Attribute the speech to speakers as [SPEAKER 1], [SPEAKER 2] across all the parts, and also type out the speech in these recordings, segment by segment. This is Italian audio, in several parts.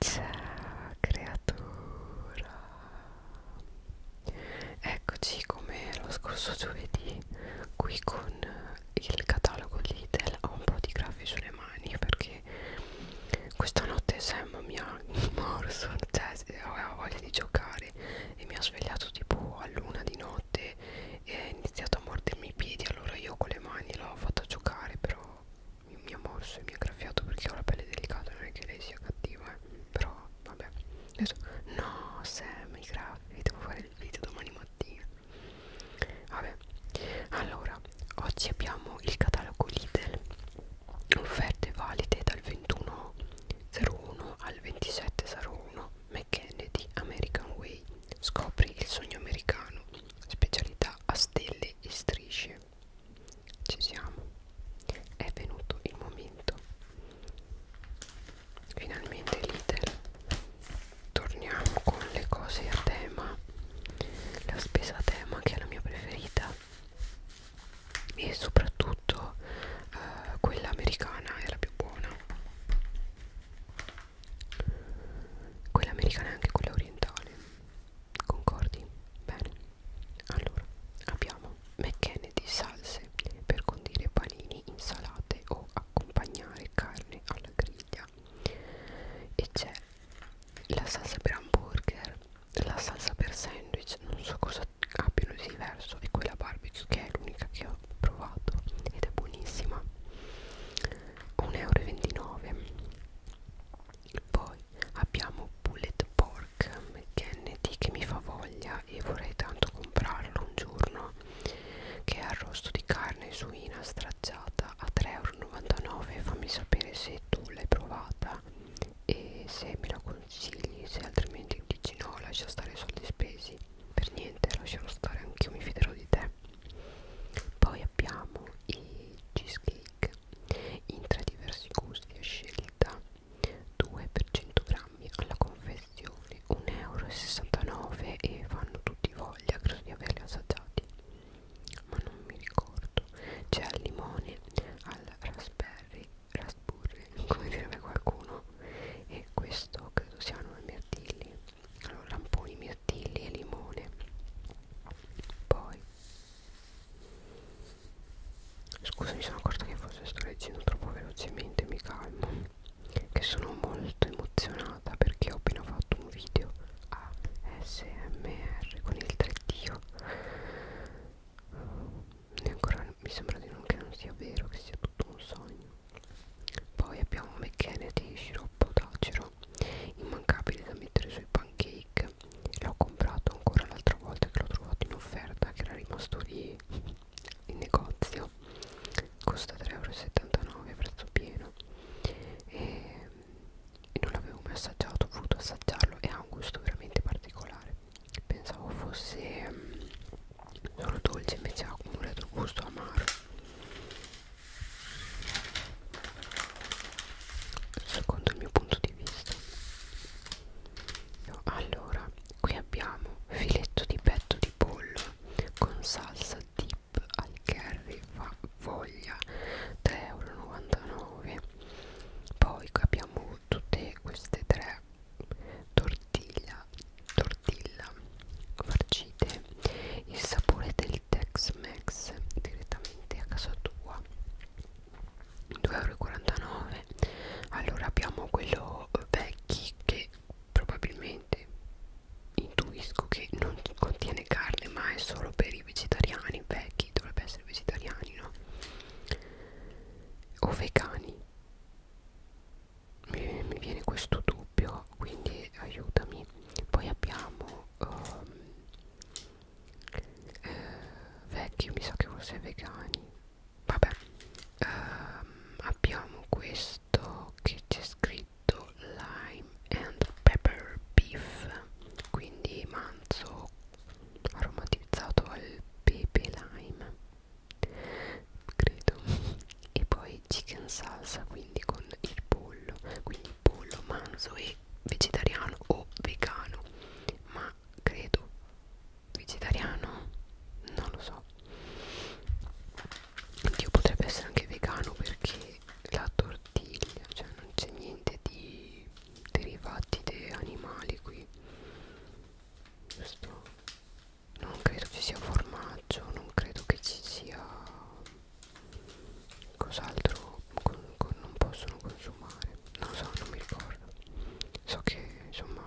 [SPEAKER 1] Ciao creatura Eccoci come lo scorso giovedì qui con il catalogo Lidl ho un po' di graffi sulle mani perché questa notte Sam mi ha morso cioè aveva voglia di giocare e mi ha svegliato tipo all'una di notte e ha iniziato a mordermi i piedi allora io con le mani l'ho fatta giocare però mi ha morso e mi ha graffiato perché ho la pelle delicata non è che lei sia cattiva eh. però vabbè adesso no Sam mi graffi devo fare il video domani mattina vabbè allora oggi abbiamo il catalogo Lidl offerte valide dal 21.01 al 27.01 McKennedy American Way scopri il sogno americano specialità a stelle e strisce ci siamo è venuto il momento finalmente l'iter torniamo con le cose a tema la spesa a tema che è la mia preferita e soprattutto eh, quella americana è la più buona quella americana e anche quella orientale Concordi? Bene. Allora, abbiamo mecchene di salse per condire panini, insalate o accompagnare carne alla griglia. E c'è la salsa per hamburger, la salsa per sandwich, non so cosa abbiano di diverso, e quella barbecue che è l'unica che ho provato ed è buonissima. 1,29 euro poi abbiamo Bullet Pork McKennedy che mi fa voglia e vorrei tanto comprarlo un giorno che è arrosto di carne suina stracciata a 3,99€ fammi sapere se tu l'hai provata e se me la consigli se altrimenti dici no lascia stare i soldi spesi per niente lascialo stare anch'io mi fiderò di te poi abbiamo i cheesecake latte in tre diversi gusti a scelta 2 per 100 grammi alla confezione 1,69 euro e fanno tutti voglia credo di averli assaggiati ma non mi ricordo c'è al limone al raspberry raspberry come direbbe qualcuno e questo credo siano i mirtilli allora lamponi mirtilli e limone poi Scusa, mi sono accorta che forse sto leggendo troppo velocemente, mi calmo. Che sono molto emozionata perché ho appena fatto un video ASMR con il 3D. E ancora mi sembra di non che non sia vero, che sia tutto un sogno. Poi abbiamo McKenna di sciroppo d'acero, immancabile da mettere sui pancake l'ho comprato ancora l'altra volta che l'ho trovato in offerta che era rimasto lì in negozio costa 3,79€ prezzo pieno e non l'avevo mai assaggiato ho voluto assaggiarlo e ha un gusto veramente particolare pensavo fosse um, solo dolce invece ha un retro gusto amaro secondo il mio punto di vista allora qui abbiamo filetto di petto di pollo con salsa dip al curry fa voglia 3,99 euro poi abbiamo tutte queste tre tortilla tortilla farcite il sapore del tex mex direttamente a casa tua 2,49 allora abbiamo quello vecchi che probabilmente intuisco che non contiene carne ma è solo per i vegetariani vecchi dovrebbe essere vegetariani no o vegani mi, mi viene questo dubbio quindi aiutami poi abbiamo um, eh, vecchi mi sa che forse vegani vabbè ehm, abbiamo questo che c'è scritto lime and pepper beef quindi manzo aromatizzato al pepe lime credo e poi chicken salsa quindi con il pollo quindi pollo manzo e vegetariano o vegano ma credo vegetariano non lo so Dio potrebbe essere anche vegano perché la tortiglia cioè non c'è niente di derivati di animali qui giusto non credo ci sia formaggio non credo che ci sia cos'altro con, con non possono consumare non lo so non mi ricordo so che insomma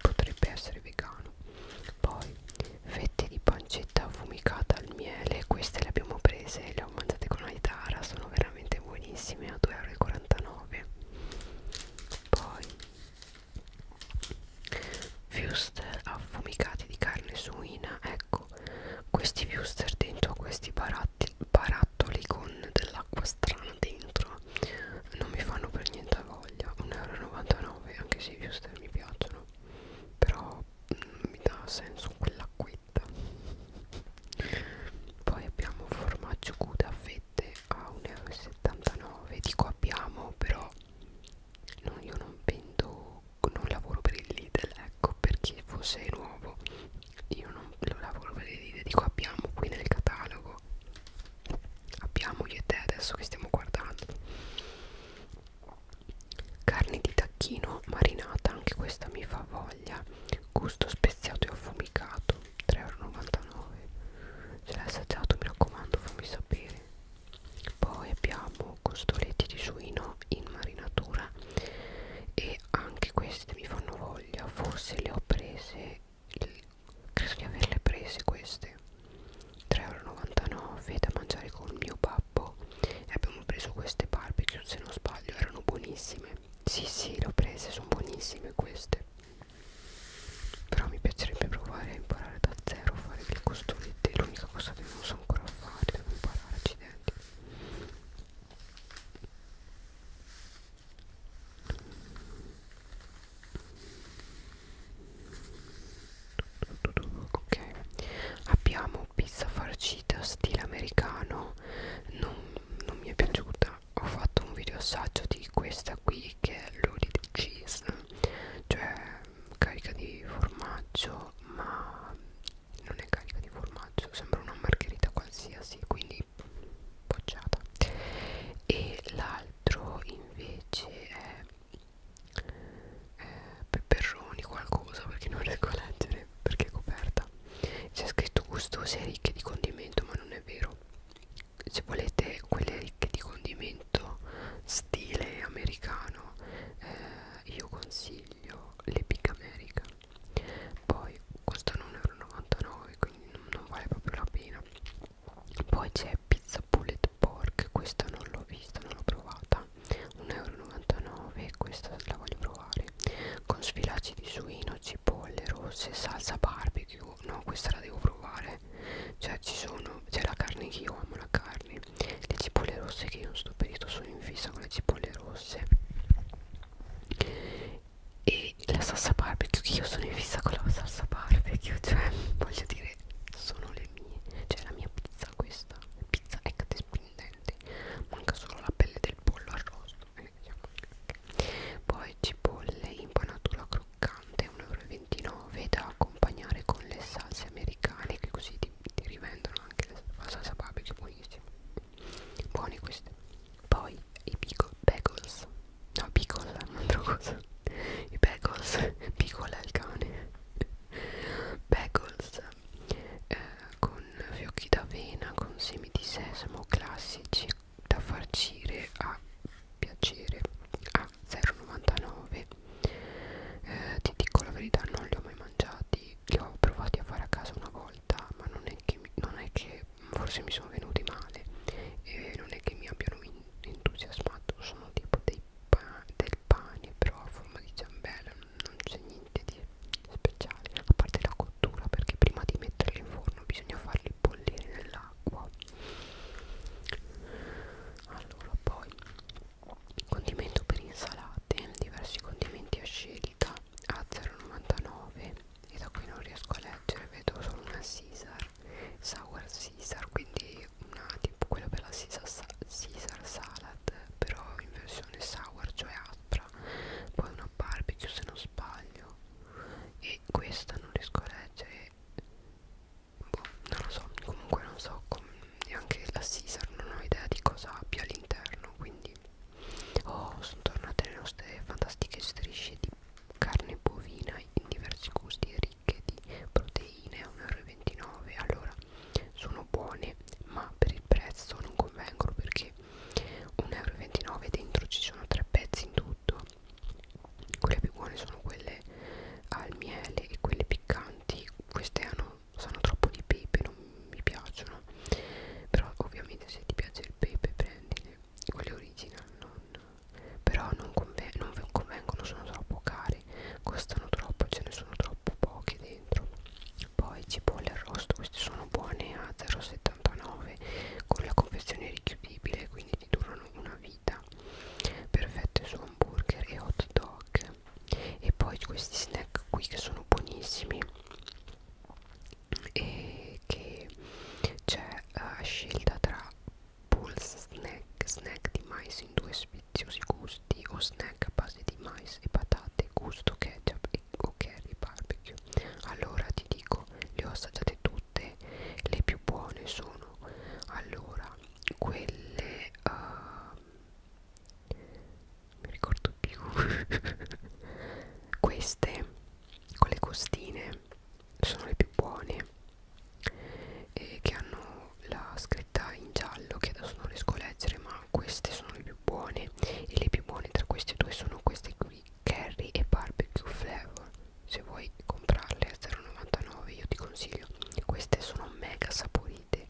[SPEAKER 1] potrebbe essere vegano poi fette di pancetta affumicata al miele queste le abbiamo prese e le ho mangiate con la chitarra sono veramente buonissime a 2,49€ poi Fust affumicati di carne suina, ecco, questi viewster dentro questi baratti, barattoli con dell'acqua strana dentro non mi fanno per niente voglia 1,99€ anche se i viewster mi piacciono però mh, mm, mi dà senso quell'acquetta poi abbiamo formaggio Gouda a fette a 1,79€ dico abbiamo però non, io non vendo non lavoro per il Lidl ecco per chi fosse nuovo io non lo lavoro per dire dico abbiamo qui nel catalogo abbiamo io e te adesso che stiamo guardando carne di tacchino marinata anche questa mi fa voglia gusto speziato e affumicato 3,99€ se l'hai assaggiato mi raccomando fammi sapere poi abbiamo costoletti di suino in marinatura e anche questi queste mi fanno voglia forse le ho prese il, credo di averle prese queste 3,99€ da mangiare con il mio babbo e abbiamo preso queste barbecue se non sbaglio erano buonissime sì sì le ho prese sono buonissime queste però mi piacerebbe provare a imparare da zero a fare dei costolette l'unica cosa che non so ancora fare devo imparare accidenti ok abbiamo pizza farcita stile americano non, non mi è piaciuta ho fatto un video assaggio di questa qui che è loaded cheese cioè carica di formaggio ma non è carica di formaggio sembra una margherita qualsiasi quindi quindi bocciata e l'altro invece è eh, peperoni qualcosa perché non riesco a leggere perché è coperta c'è scritto gustose e ricche di condimento ma non è vero se volete quelle ricche di condimento stile americano eh, io consiglio l'Epic America poi costano 1,99€ quindi non, non vale proprio la pena poi c'è pizza bullet pork questa non l'ho vista non l'ho provata 1,99€ questa la voglio provare con sfilacci di suino cipolle rosse salsa barbecue no questa la devo provare cioè ci sono c'è la carne che io amo la carne le cipolle rosse che io non sto perito sono in fissa con le cipolle rosse e la salsa barbecue che io sono in fissa con la salsa barbecue cioè voglio dire sono le mie cioè la mia pizza questa pizza è catespindente manca solo la pelle del pollo arrosto eh, cioè, poi cipolle impanatura croccante 1,29 euro da accompagnare con le salse americane che così ti, ti rivendono anche la salsa barbecue buonissima buone queste poi i bagels no piccola eh, un'altra cosa i bagels piccola il cane bagels eh, con fiocchi d'avena con semi di sesamo classici da farcire a piacere a 0,99 eh, ti dico la verità non li ho mai mangiati li ho provati a fare a casa una volta ma non è che, non è che forse mi sono venuti male e non è che mi abbiano entusiasmato sono tipo dei pa del pane però a forma di ciambella non c'è niente di speciale a parte la cottura perché prima di metterli in forno bisogna farli bollire nell'acqua allora poi condimento per insalate diversi condimenti a scegli salita a 0,99 e da qui non riesco a leggere vedo solo una Caesar sour Caesar quindi una tipo quello per la Caesar, Caesar salad però in versione sour cioè aspra poi una barbecue se non sbaglio e questa non riesco a leggere boh, non lo so comunque non so com neanche la Caesar non ho idea di cosa abbia all'interno quindi Oh, sono tornate le nostre fantastiche strisce di carne bovina in diversi gusti e ricche di proteine a 1,29 euro. Allora, sono buone, ma per il prezzo non convengono perché 1,29 euro dentro ci sono tre pezzi in tutto. Quelle più buone sono quelle al miele e quelle piccanti. Queste hanno, sanno troppo di pepe, non mi piacciono. Però ovviamente se ti piace il pepe prendile quelle original non, però non, conven non convengono sono troppo cari costano troppo ce ne sono troppo poche dentro poi cipolle arrosto queste sono buone a 0,79 con la confezione richiudibile quindi ti durano una vita perfette su hamburger e hot dog e poi questi snack qui che sono buonissimi e che c'è uh, scelta tra pulse snack, snack di mais in due spiziosi gusti o snack a base di mais e patate, gusto ketchup e, o curry barbecue. Allora ti dico, le ho assaggiate tutte, le più buone sono allora quelle uh, mi ricordo più queste con le costine sono le più buone e che hanno la scritta in giallo che adesso non riesco a leggere ma queste sono le più buone e le più buone tra queste due sono queste qui curry e barbecue flavor se vuoi comprarle a 0,99 io ti consiglio queste sono mega saporite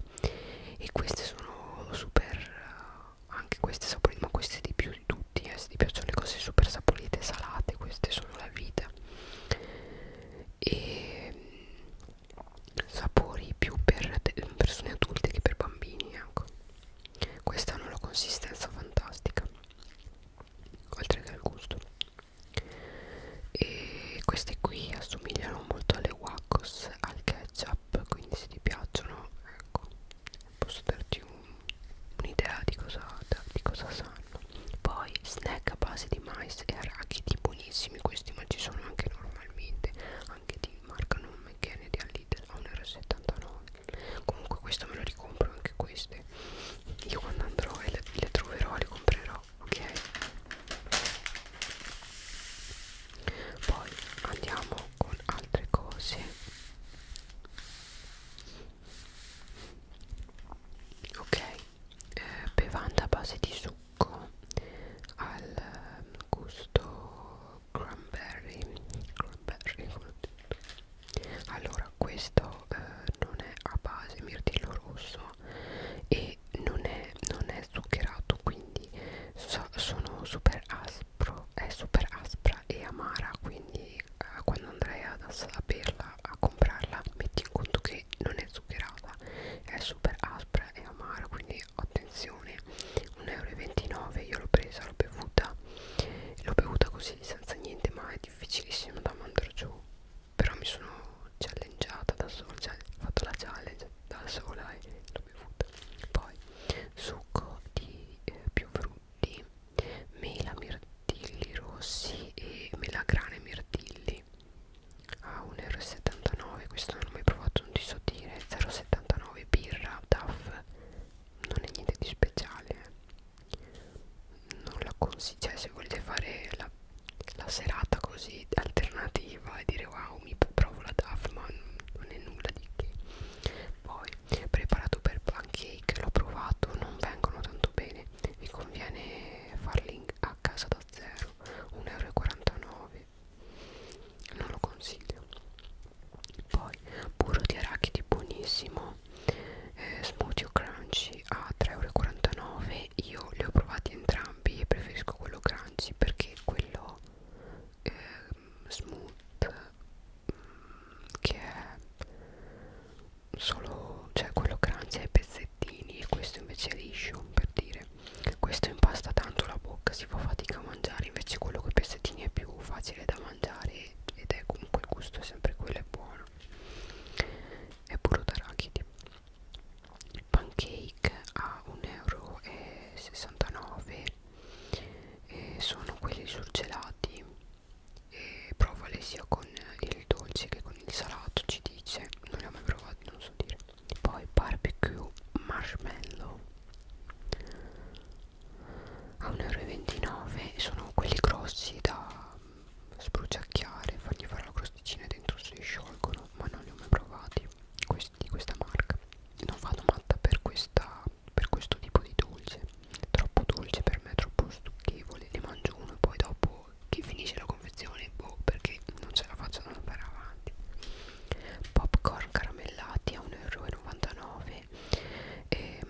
[SPEAKER 1] e queste sono super uh, anche queste saporite ma queste di più di tutti eh, se ti piacciono le cose super saporite salate queste sono la vita e mm, sapori più per persone adulte che per bambini ecco queste hanno una consistenza fantastica oltre che al gusto e queste qui assomigliano molto alle wackos al ketchup quindi se ti piacciono ecco posso darti un'idea un di, di cosa sanno poi snack a base di mais e arachidi buonissimi questi ma ci sono anche normalmente anche di marca non McKennedy al Lidl a 1,79 comunque questo me lo ricompro anche queste io quando andrò e le, le troverò le comprerò ok poi andiamo con altre cose ok eh, bevanda a base di succo al eh, gusto cranberry cranberry allora questo eh, non è a base mirtillo rosso e non è, non è zuccherato quindi so, sono super aspri aspro, è super aspra e amara quindi eh, quando andrai ad assaperla, a comprarla metti in conto che non è zuccherata è super aspra e amara quindi attenzione 1,29 euro io l'ho presa, l'ho bevuta l'ho bevuta così senza niente ma è difficilissimo da mandare giù però mi sono challengeata da sola cioè ho fatto la challenge da sola e l'ho bevuta poi succo di eh, più frutti mela, mirtilli rossi e melagrane mirtilli a 1,79 euro questo non ho mai provato non ti so dire 0,79 birra DAF non è niente di speciale eh. non la consiglio cioè se volete fare la, la serata così alternativa e dire wow mi provo la DAF ma non è nulla di che poi preparato per pancake l'ho provato non vengono tanto bene mi conviene farli a casa da zero 1,49 euro non lo consiglio poi burro di arachidi buonissimo eh, smoothie o crunchy a 3,49 euro io li ho provati entrambi e preferisco quello crunchy perché quello eh, smooth che è solo cioè quello crunchy ai pezzettini e questo invece è liscio per dire questo impasta tanto la bocca si fa fatica a mangiare invece quello con i pezzettini è più facile da mangiare ed è comunque il gusto è sempre quello è buono è puro d'arachidi il pancake a 1,69€ e sono quelli surgelati e provale sia con il dolce che con il salato ci dice non l'ho mai provato non so dire poi barbecue marshmallow a 1,29 euro sono quelli grossi da spruciacchiare fargli fare la crosticina dentro si sciolgono ma non li ho mai provati questi di questa marca non vado matta per questa per questo tipo di dolce troppo dolce per me troppo stucchevole ne mangio uno e poi dopo che finisce la confezione boh perché non ce la faccio ad andare avanti popcorn caramellati a 1,99€ e, ehm,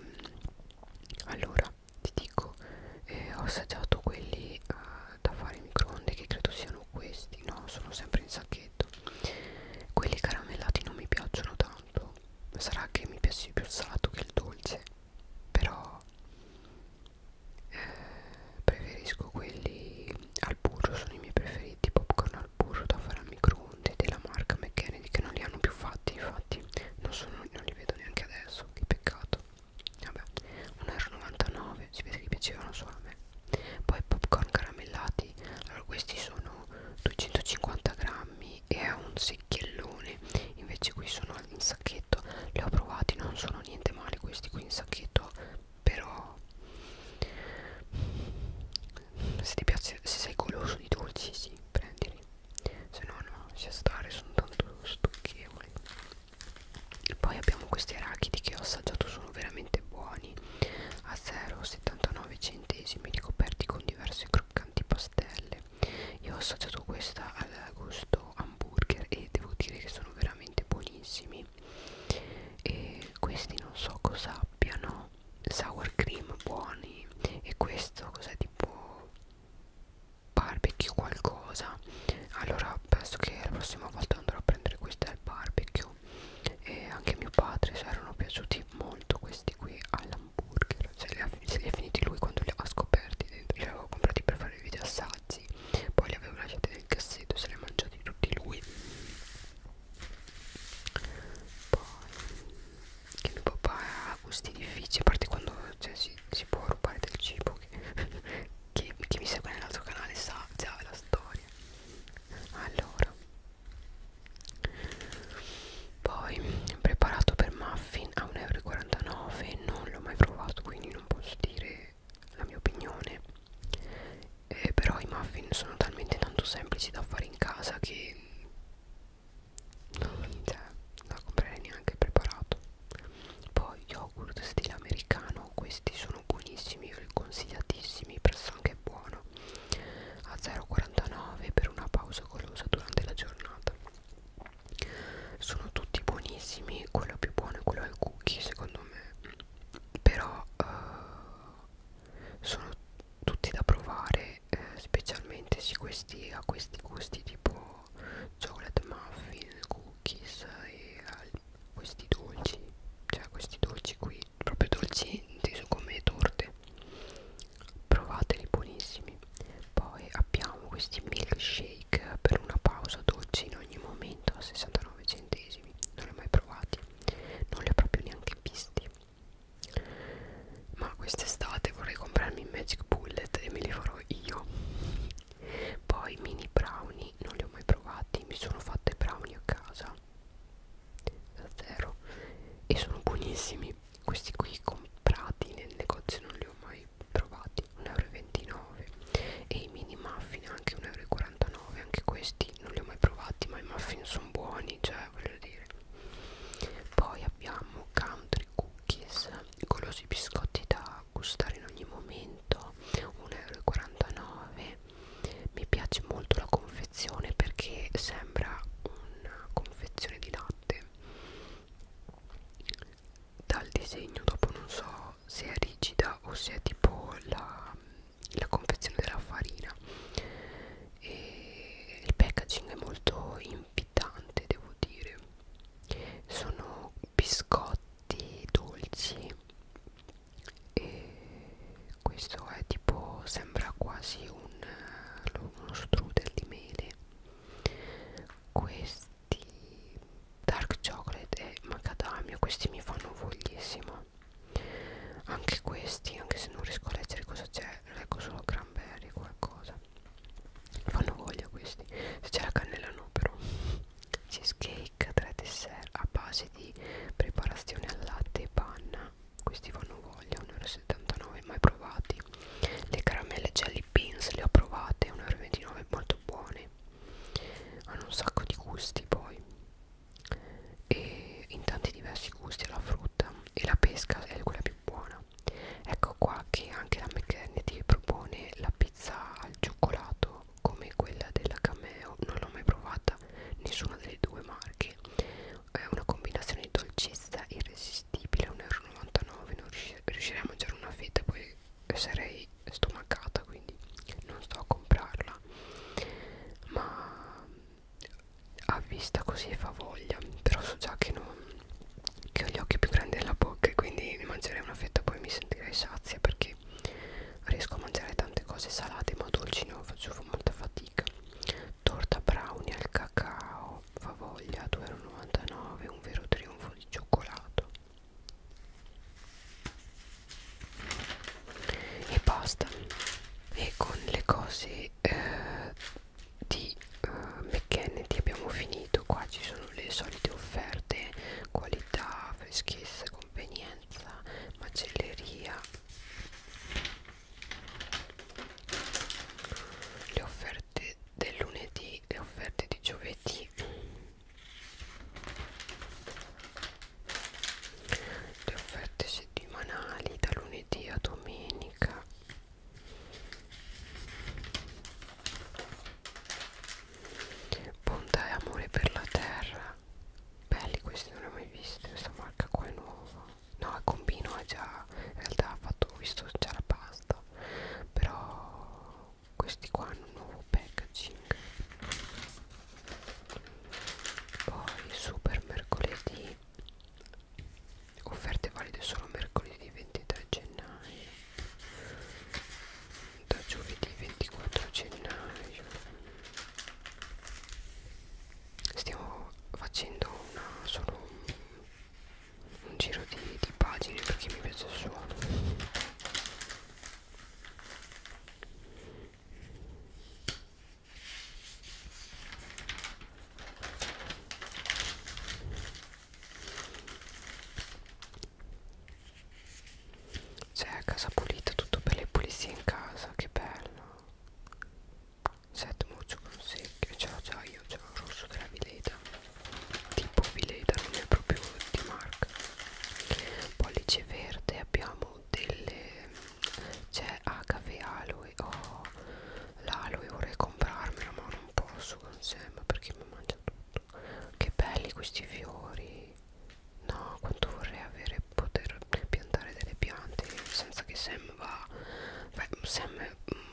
[SPEAKER 1] allora ti dico eh, ho assaggiato quelli eh, da fare in microonde che credo siano questi no sono sempre in sacchetto quelli caramellati non mi piacciono tanto tempo sarà che mi piace più il salato che il dolce però eh, preferisco quelli al burro sono i miei preferiti popcorn al burro da fare al microonde della marca McKennedy che non li hanno più fatti infatti non, sono, non li vedo neanche adesso che peccato vabbè 1,99€ si vede che piacevano solo a me poi popcorn caramellati allora questi sono 250 grammi grammi e è un secchiellone invece qui sono in sacchetto li ho provati non sono niente male questi qui in sacchetto però se ti piace se sei goloso di dolci sì prendili se no no sia stare sono tanto stucchevoli poi abbiamo questi arachidi che ho assaggiato sono veramente buoni a 0,79 centesimi ricoperti con diverse croccanti pastelle io ho assaggiato questa al gusto hamburger e devo dire che sono veramente buonissimi e questi non so cosa abbiano sour cream buoni e questo cos'è tipo barbecue qualcosa allora penso che la prossima volta andrò a prendere questi al barbecue e anche mio padre si erano piaciuti molto questi qui alla hamburger se li ha, se li ha finiti lui quando li ha scoperti dentro. li avevo comprati per fare i video assaggi poi li avevo lasciati nel cassetto se li ha mangiati tutti lui poi che mio papà ha gusti difficili a parte quando cioè, si, si può rubare del cibo che, che, che mi segue nell'altro canale sa già la storia allora poi preparato per muffin a 1,49€ non l'ho mai provato quindi non posso dire la mia opinione eh, però i muffin sono talmente tanto semplici da fare in casa che non, cioè, non comprerei neanche preparato poi yogurt stile americano questi sono buonissimi io li consigliatissimi presso anche buono a 0,49 per una pausa golosa durante la giornata sono tutti buonissimi quello più buono è quello al cookie secondo me però uh, sono tutti da provare eh, specialmente se questi ha questi gusti tipo chocolate muffin cookies e uh, questi dolci cioè questi dolci qui proprio dolci inteso come torte provateli buonissimi poi abbiamo questi milkshake per una pausa dolci in ogni momento a 69 centesimi non li ho mai provati non li ho proprio neanche visti ma quest'estate vorrei comprarmi il magic bullet e me li farò io poi mini brownie non li ho mai provati mi sono fatte brownie a casa da zero e sono buonissimi questi qui comprati nel negozio non li ho mai provati 1,29 euro e i mini muffin anche 1,49 euro anche questi non li ho mai provati ma i muffin sono buoni cioè voglio dire poi abbiamo country cookies golosi biscotti da gustare in ogni momento 1,49 euro mi piace molto la confezione perché sembra una confezione di latte dal disegno dopo non so se è rigida o se è tipo la, la confezione della farina e il packaging è molto invitante devo dire sono biscotti dolci e questo è tipo sembra quasi un, uno strudel di mele questi dark chocolate e macadamia questi mi fanno voglissimo anche questi anche se non riesco a leggere cosa c'è leggo solo cranberry qualcosa fanno voglia questi se c'è la cannella no però cheesecake 3 dessert a base di preparazione al latte e panna questi fanno voglia 1,60 79 mai provati le caramelle jelly beans le ho provate 1,29 molto buone hanno un sacco di gusti poi e in tanti diversi gusti la frutta e la pesca è quella più buona ecco qua che anche la McKenna ti propone la pizza al cioccolato come quella della Cameo non l'ho mai provata nessuna delle due marche è una combinazione di dolcezza irresistibile 1,99 euro non riuscirò riuscirei a mangiare una fetta poi sarei stomacata quindi non sto a comprarla ma a vista così fa voglia però so già che, non, che ho gli occhi più grandi della bocca e quindi mi mangerei una fetta poi mi sentirei sazia perché riesco a mangiare tante cose salate ma dolci non faccio molta fatica torta brownie al cacao favoglia 2,99 un vero trionfo di cioccolato e basta e con le cose eh, di eh, McKennedy abbiamo finito qua ci sono le solite offerte qualità freschezza convenienza macelleria le offerte offerte del lunedì le offerte di giovedì le offerte settimanali da lunedì a domenica bontà e amore per la terra belli questi non li ho mai visti questa marca qua è nuova no il combino è già in realtà ha fatto ho visto già la base basta però questi qua hanno un nuovo packaging poi super mercoledì offerte valide solo mercoledì 23 gennaio da giovedì 24 gennaio stiamo facendo una solo un un giro di, di pagine perché mi piace il suono c'è a casa pulita tutto per le pulizie in casa che bello set muccio con secchio ciao ciao io ciao rosso della vileta tipo Villader non è proprio di marca pollice verde abbiamo delle c'è HV Aloe oh, l'Aloe vorrei comprarmela ma non posso con Sam perché mi mangia tutto che belli questi fiori no quanto vorrei avere poter piantare delle piante senza che Sam va Beh, Sam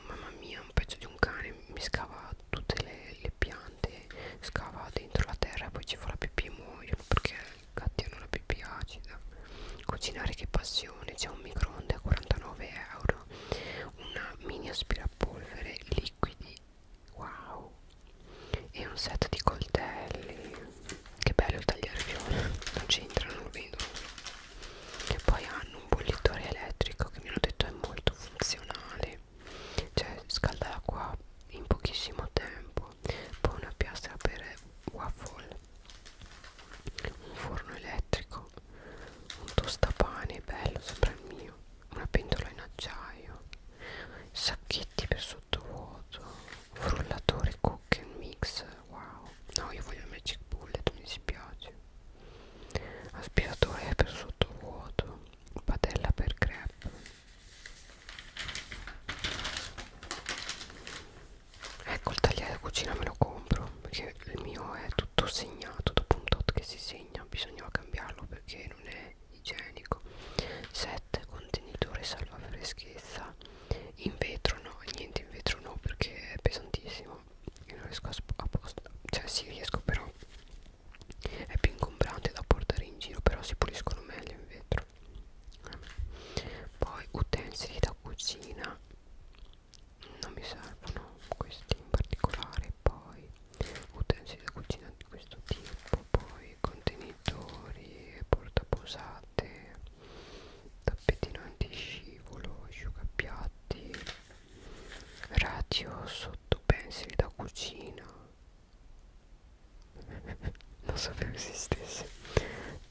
[SPEAKER 1] mamma mia un pezzo di un cane mi scava tutte le, le piante scava dentro la terra e poi ci fa la pipì e muoiono perché i gatti hanno la pipì acida cucinare che passione c'è un microonde a 49 euro una mini aspirapolvere liquidi wow e un set di coltelli che bello il tagliarfiore non c'entra non lo vedo e poi hanno un bollitore elettrico che mi hanno detto è molto funzionale cioè scalda l'acqua in pochissimo tempo poi una piastra per waffle un forno elettrico un tostapane bello sopra il mio una pentola in acciaio sacchetti per sottovuoto frullatore cook and mix wow no io voglio il magic bullet mi dispiace aspiratore per sottovuoto padella per crepe ecco il tagliere cucina me lo compro perché il mio è tutto segnato dopo un tot che si segna bisognava cambiarlo perché non è igienico 7 contenitore salva freschezza in vetro no niente in vetro no perché è pesantissimo io non riesco a, a posto cioè sì riesco però è più ingombrante da portare in giro però si puliscono meglio in vetro eh. poi utensili da cucina non mi servono questi in particolare poi utensili da cucina di questo tipo poi contenitori portaposate tappetino antiscivolo asciugapiatti radio sottopensili da cucina non sapevo esistesse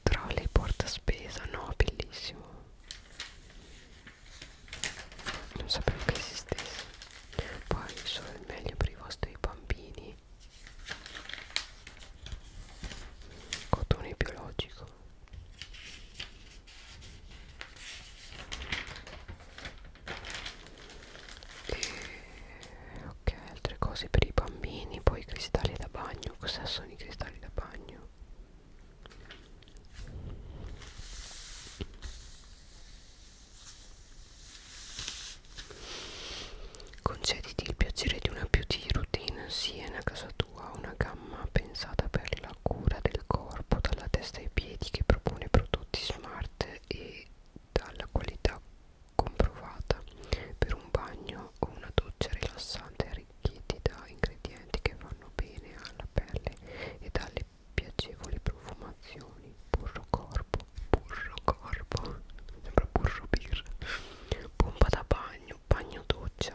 [SPEAKER 1] trolley porta spesa no bellissimo non sapevo che esistesse poi solo il meglio per i vostri bambini cotone biologico e, ok altre cose per i bambini poi i cristalli da bagno cos'è sono i cristalli da bagno Concediti il piacere di una beauty routine sia in casa tua, una gamma pensata per la la cura del corpo dalla testa ai piedi che propone prodotti smart e dalla qualità comprovata per un bagno o una doccia rilassante arricchiti da ingredienti che vanno bene alla pelle e dalle piacevoli profumazioni burro corpo burro corpo sembra burro birra pompa da bagno bagno doccia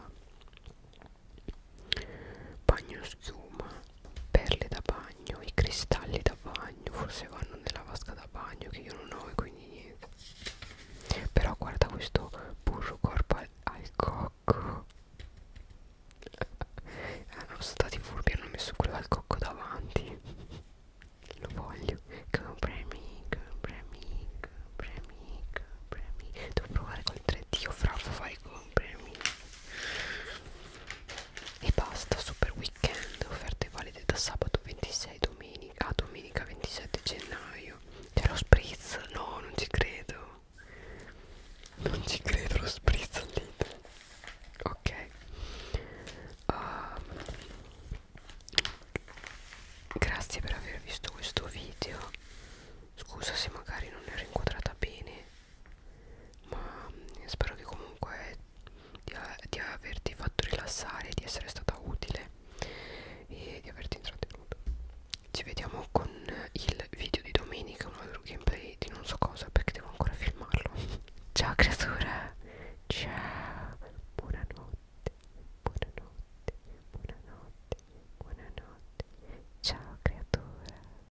[SPEAKER 1] bagno schiuma perle da bagno i cristalli da bagno forse vanno nella vasca da bagno che io non ho e quindi niente però guarda questo burro corpo al, al cocco hanno ah, stati furbi hanno messo quello al cocco davanti lo voglio comprami comprami comprami comprami devo provare col 3D o fra fai comprami e basta super weekend offerte valide da sabato 26 domenica a ah, domenica 27 gennaio c'è lo spritz no non ci credo non ci credo lo spritz al dito ok um, grazie per aver visto questo video scusa se magari non ero inquadrata bene ma spero che comunque di, di averti fatto rilassare di essere stata utile e di averti intrattenuto ci vediamo con il video di domenica un altro gameplay di non so cosa perché devo ancora filmarlo ciao creatura ciao buonanotte buonanotte buonanotte buonanotte ciao creatura